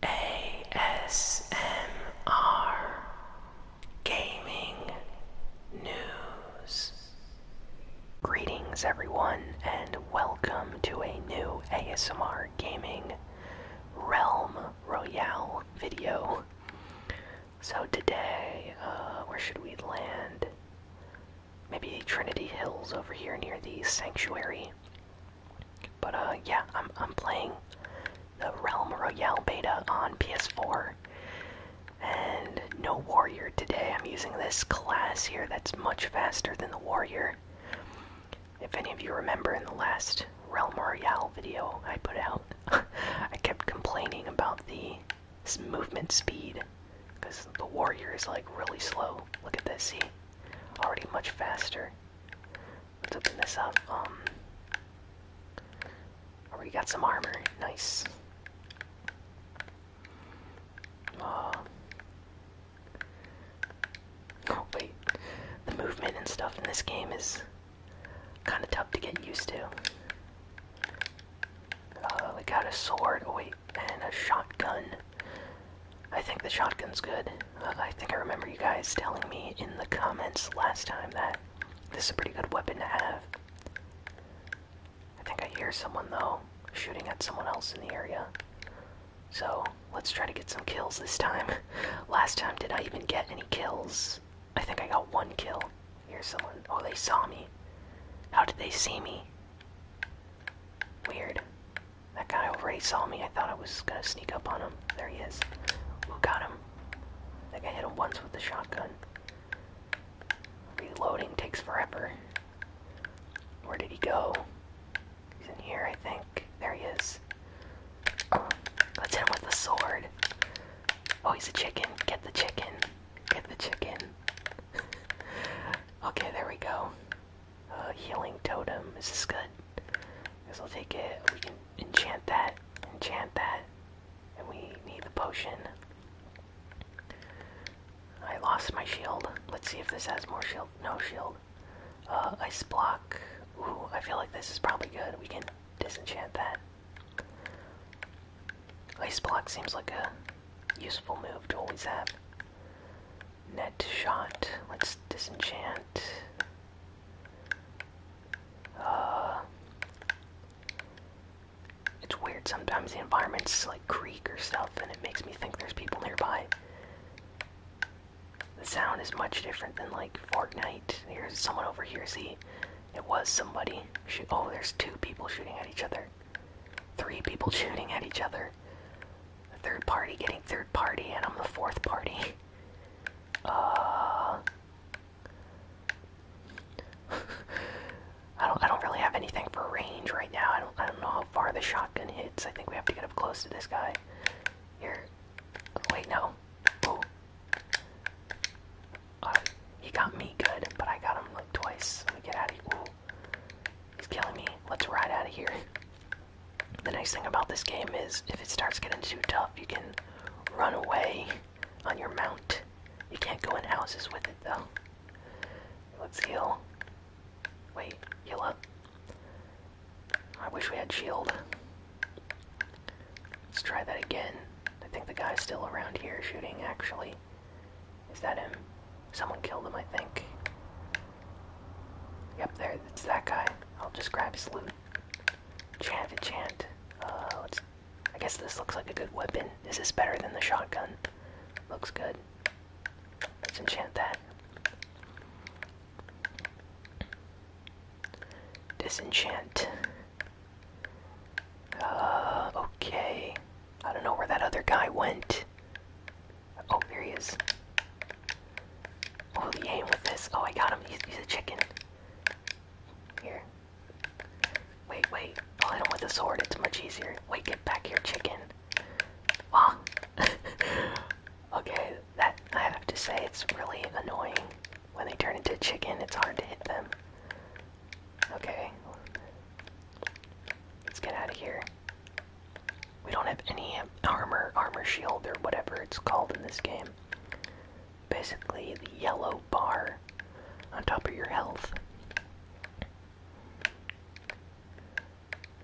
ASMR Gaming News. Greetings, everyone, and welcome to a new ASMR Gaming Realm Royale video. So, today, uh, where should we land? Maybe Trinity Hills over here near the Sanctuary. But uh, yeah, I'm I'm playing the Realm Royale beta on PS4, and no warrior today. I'm using this class here that's much faster than the warrior. If any of you remember in the last Realm Royale video I put out, I kept complaining about the movement speed because the warrior is like really slow. Look at this, see? Already much faster. Let's open this up. Um, already oh, got some armor. Nice. Uh, oh wait, the movement and stuff in this game is kind of tough to get used to. Oh, we got a sword. Oh, wait, and a shotgun. I think the shotgun's good. I think I remember you guys telling me in the comments last time that this is a pretty good weapon to have. I think I hear someone though shooting at someone else in the area. So let's try to get some kills this time. Last time, did I even get any kills? I think I got one kill. Here's someone. Oh, they saw me. How did they see me? Weird. That guy already saw me. I thought I was gonna sneak up on him. There he is. Ooh, got him. I think I hit him once with the shotgun. Reloading takes forever. Where did he go? He's in here, I think. There he is. let's hit him with the sword. Oh, he's a chicken. Get the chicken. Get the chicken. okay, there we go. Uh, healing totem. Is good? I will take it. We can enchant that, enchant that, and we need the potion. I lost my shield. Let's see if this has more shield. No shield. Uh, ice block. Ooh, I feel like this is probably good. We can disenchant that. Ice block seems like a useful move to always have. Net shot. Let's disenchant. Uh, it's weird sometimes the environment's like creak or stuff and it makes me think there's people nearby. The sound is much different than like Fortnite. Here's someone over here, see? It was somebody. Oh, there's two people shooting at each other. Three people shooting at each other. Third party getting third party, and I'm the fourth party. Uh, I don't. I don't really have anything for range right now. I don't. I don't know how far the shotgun hits. I think we have to get up close to this guy. Here. Wait, no. Oh. he got me good, but I got him like twice. Let me get out of here. He's killing me. Let's ride out of here. The nice thing about this game is if it starts getting too tough, you can run away on your mount. You can't go in houses with it though. Let's heal. Wait, heal up. I wish we had shield. Let's try that again. I think the guy's still around here shooting, actually. Is that him? Someone killed him, I think. Yep, there, it's that guy. I'll just grab his loot. Chant, enchant. Uh, let's. I guess this looks like a good weapon. Is this better than the shotgun? Looks good. Let's enchant that. Disenchant. Uh, okay. I don't know where that other guy went. Oh, there he is. Oh, he aim with this. Oh, I got him. He's, a chicken. Here. Wait, wait. I'll hit him with a sword. It's much easier. Wait, get back here, chicken. Ah. okay, that I have to say it's really annoying when they turn into chicken. It's hard to hit them. Okay. Let's get out of here. We don't have any armor, armor shield, or whatever it's called in this game. Basically, the yellow bar on top of your health.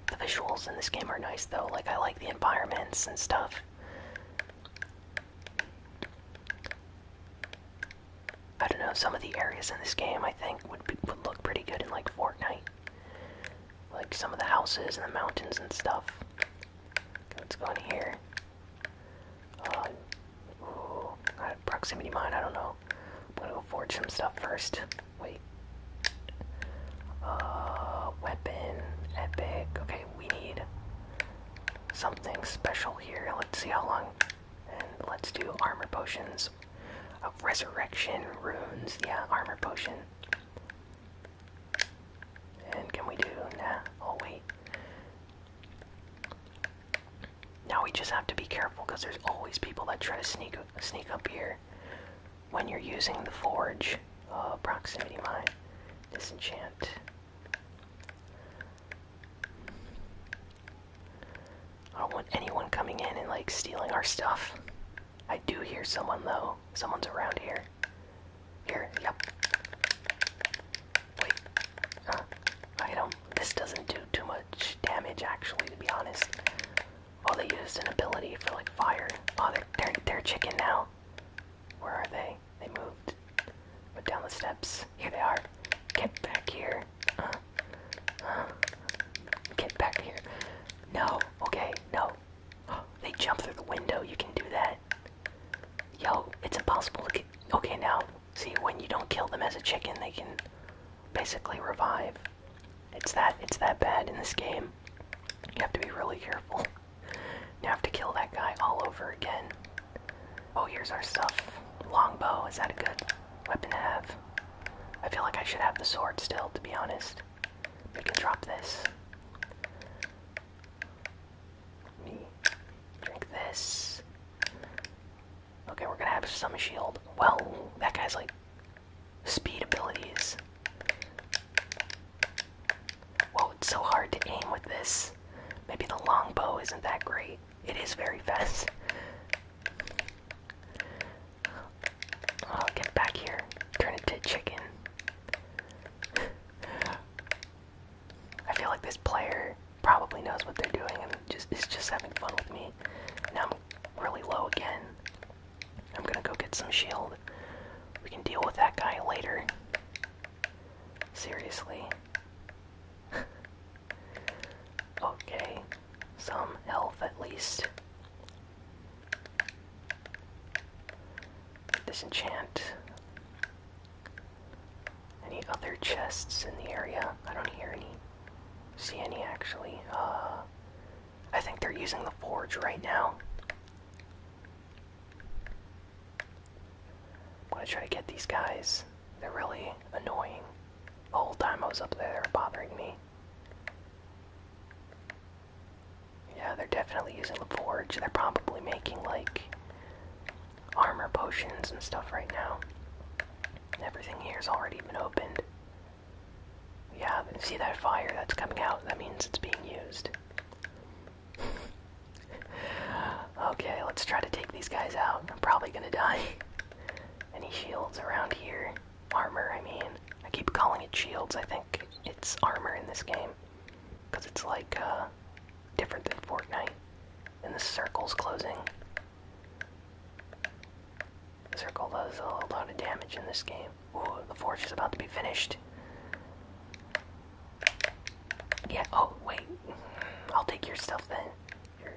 The visuals in this game are nice though, like I like the environments and stuff. I don't know, some of the areas in this game I think would, would look pretty good in like Fortnite like some of the houses and the mountains and stuff. Let's go in here. Uh, ooh, proximity mine. I don't know. I'm gonna go forge some stuff first. Wait. Uh, weapon, epic. Okay, we need something special here. Let's see how long. And let's do armor potions. Uh, resurrection runes. Yeah, armor potion. And can we do, nah, oh wait. Now we just have to be careful because there's always people that try to sneak, sneak up here when you're using the forge. Uh, proximity mine. Disenchant. I don't want anyone coming in and like stealing our stuff. I do hear someone though. Someone's around here. Here, yep. Wait. Uh, I don't. This doesn't do too much damage actually, to be honest. Oh, they used an ability for like fire. Oh, they're, they're, chicken now. Where are they? They moved. Went down the steps. Here they are. Get back here. Uh, uh, get back here. No, okay, no. They jump through the window, you can do that. Yo, it's impossible to get. Okay, now, see, when you don't kill them as a chicken, they can basically revive. It's that, it's that bad in this game. You have to be really careful. You have to kill that guy all over again. Oh, here's our stuff. Longbow, is that a good weapon to have? I feel like I should have the sword still, to be honest. We can drop this. Me. Drink this. Okay, we're gonna have some shield. Well, that guy's like speed abilities. Whoa, it's so hard to aim with this. Maybe the long bow isn't that great. It is very fast. I'll get back here. Turn it to chicken. I feel like this player probably knows what they're doing and just is just having fun with me. Now I'm really low again. I'm gonna go get some shield. We can deal with that guy later. Seriously. okay some health at least. Disenchant. Any other chests in the area? I don't hear any. See any actually? Uh, I think they're using the forge right now. I'm gonna try to get these guys. They're really annoying. The whole time I was up there, bothering me. Yeah, they're definitely using the forge. They're probably making like armor potions and stuff right now. Everything here's already been opened. Yeah, see that fire that's coming out? That means it's being used. okay, let's try to take these guys out. I'm probably gonna die. Any shields around here? Armor, I mean. I keep calling it shields. I think it's armor in this game. Because it's like, uh, different than Fortnite. And the circle's closing. The circle does a lot of damage in this game. Ooh, the forge is about to be finished. Yeah, oh, wait. I'll take your stuff then. Your,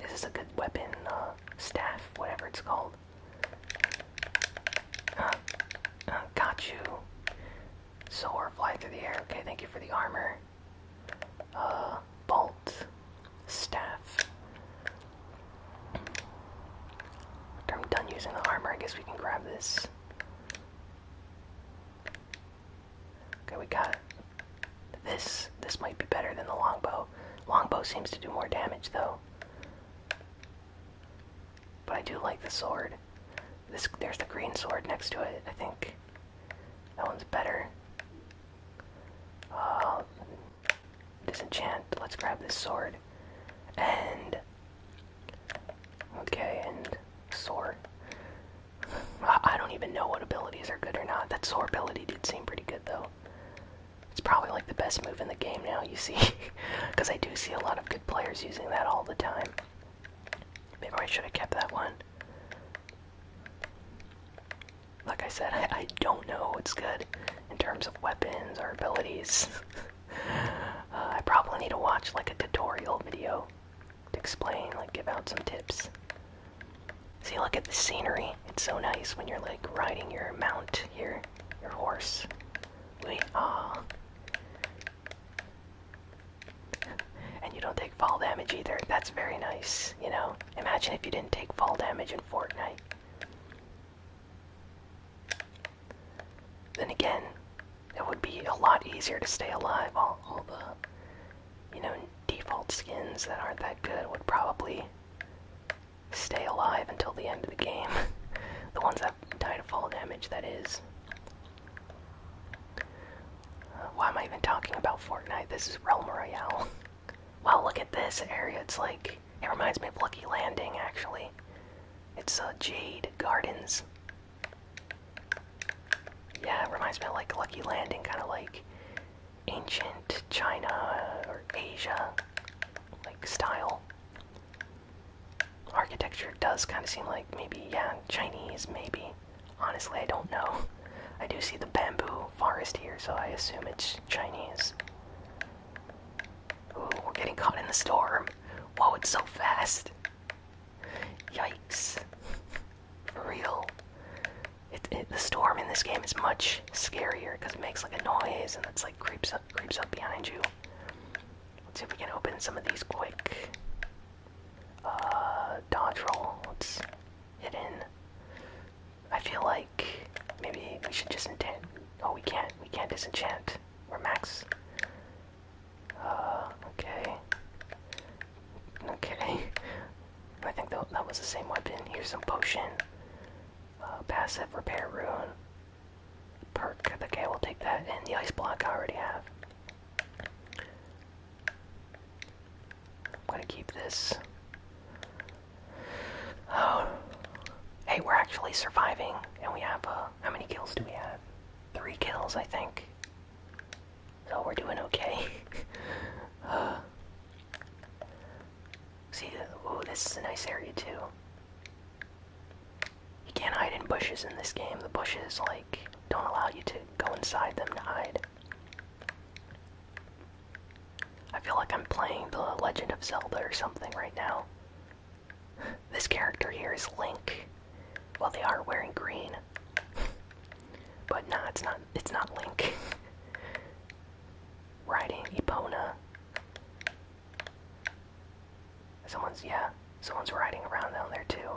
this is a good weapon, uh, staff, whatever it's called. Uh, uh, got you. Soar, fly through the air. Okay, thank you for the armor. Uh, bolt. Staff. After I'm done using the armor, I guess we can grab this. Okay, we got this. This might be better than the longbow. Longbow seems to do more damage, though. But I do like the sword. This there's the green sword next to it. I think that one's better. Uh, disenchant. Let's grab this sword. And okay, and sword. I don't even know what abilities are good or not. That sword ability did seem pretty good though. It's probably like the best move in the game now, you see, because I do see a lot of good players using that all the time. Maybe I should have kept that one. Like I said, I, don't know what's good in terms of weapons or abilities. Uh, I probably need to watch like a tutorial video to explain, like give out some tips. See, look at the scenery. It's so nice when you're like riding your mount here, your horse. We ah. And you don't take fall damage either. That's very nice, you know? Imagine if you didn't take fall damage in Fortnite. Then again, it would be a lot easier to stay alive. all the, you know, default skins that aren't that good would probably stay alive until the end of the game. the ones that died of fall damage, that is. Uh, why am I even talking about Fortnite? This is Realm Royale. wow, look at this area. It's like, it reminds me of Lucky Landing, actually. It's uh, Jade Gardens. Yeah, it reminds me of like Lucky Landing, kind of like ancient China or Asia like style. Architecture does kind of seem like maybe, yeah, Chinese, maybe. Honestly, I don't know. I do see the bamboo forest here, so I assume it's Chinese. Ooh, we're getting caught in the storm. Whoa, it's so fast. Yikes. For real the storm in this game is much scarier because it makes like a noise and it's like creeps up, creeps up behind you. Let's see if we can open some of these quick. Uh, dodge roll. Let's hit in. I feel like maybe we should just enchant. Oh, we can't. We can't disenchant. We're max. Uh, okay. Okay. I think that, that was the same weapon. Here's some potion. Uh, passive repair rune. Perk. Okay, we'll take that. And the ice block I already have. I'm gonna keep this. Oh. Hey, we're actually surviving. And we have, uh, how many kills do we have? Three kills, I think. So we're doing okay. Uh, See, oh, this is a nice area too. You can't hide in bushes in this game. The bushes, like, don't allow you to go inside them to hide. I feel like I'm playing The Legend of Zelda or something right now. This character here is Link. Well, they are wearing green. but nah, it's not. It's not Link. riding Epona. Someone's, yeah, someone's riding around down there too.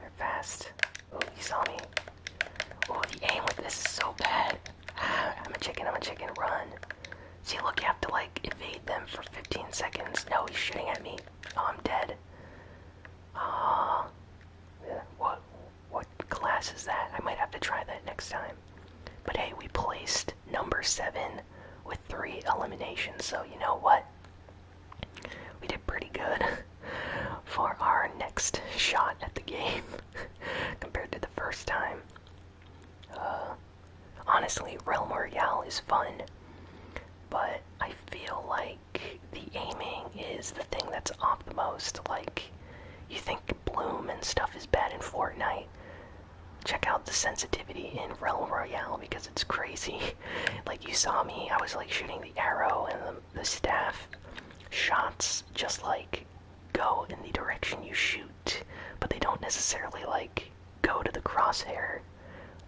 They're fast. Oh, he saw me. Oh, the aim with this is so bad. I'm a chicken, I'm a chicken, run. See, look, you have to like evade them for 15 seconds. No, he's shooting at me. Oh, I'm dead. Ah, what? What class is that? I might have to try that next time. But hey, we placed number seven with three eliminations, so you know what? We did pretty good for our next shot at the game compared to the first time. Uh, honestly, Realm Royale is fun, but I feel like the aiming is the thing that's off the most. Like, you think Bloom and stuff is bad in Fortnite, check out the sensitivity in Real Royale because it's crazy. like you saw me, I was like shooting the arrow and the, staff shots just like go in the direction you shoot, but they don't necessarily like go to the crosshair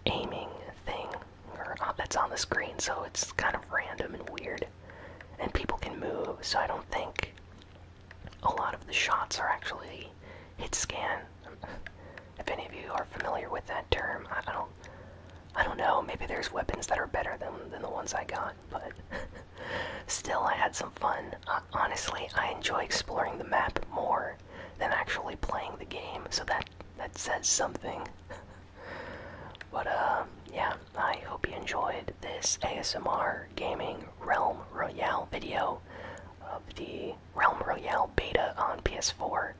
aiming thing or, uh, that's on the screen, so it's kind of random and weird and people can move, so I don't think a lot of the shots are actually hit scan. If any of you are familiar with that term, I, don't, I don't know. Maybe there's weapons that are better than than the ones I got, but still, I had some fun. honestly, I enjoy exploring the map more than actually playing the game, so that that says something. But uh, yeah, I hope you enjoyed this ASMR gaming Realm Royale video of the Realm Royale beta on PS4.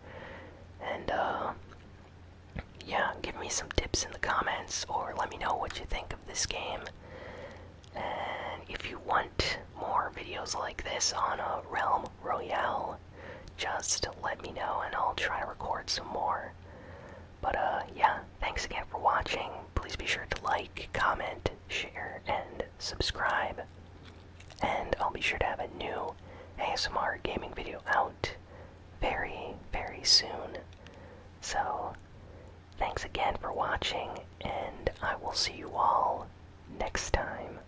And uh, yeah, give me some tips in the comments or let me know what you think of this game. And if you want more videos like this on a Realm Royale, just let me know and I'll try to record some more. But uh, yeah, thanks again for watching. Please be sure to like, comment, share, and subscribe. And I'll be sure to have a new ASMR gaming video out very, very soon. So, thanks again for watching, and I will see you all next time.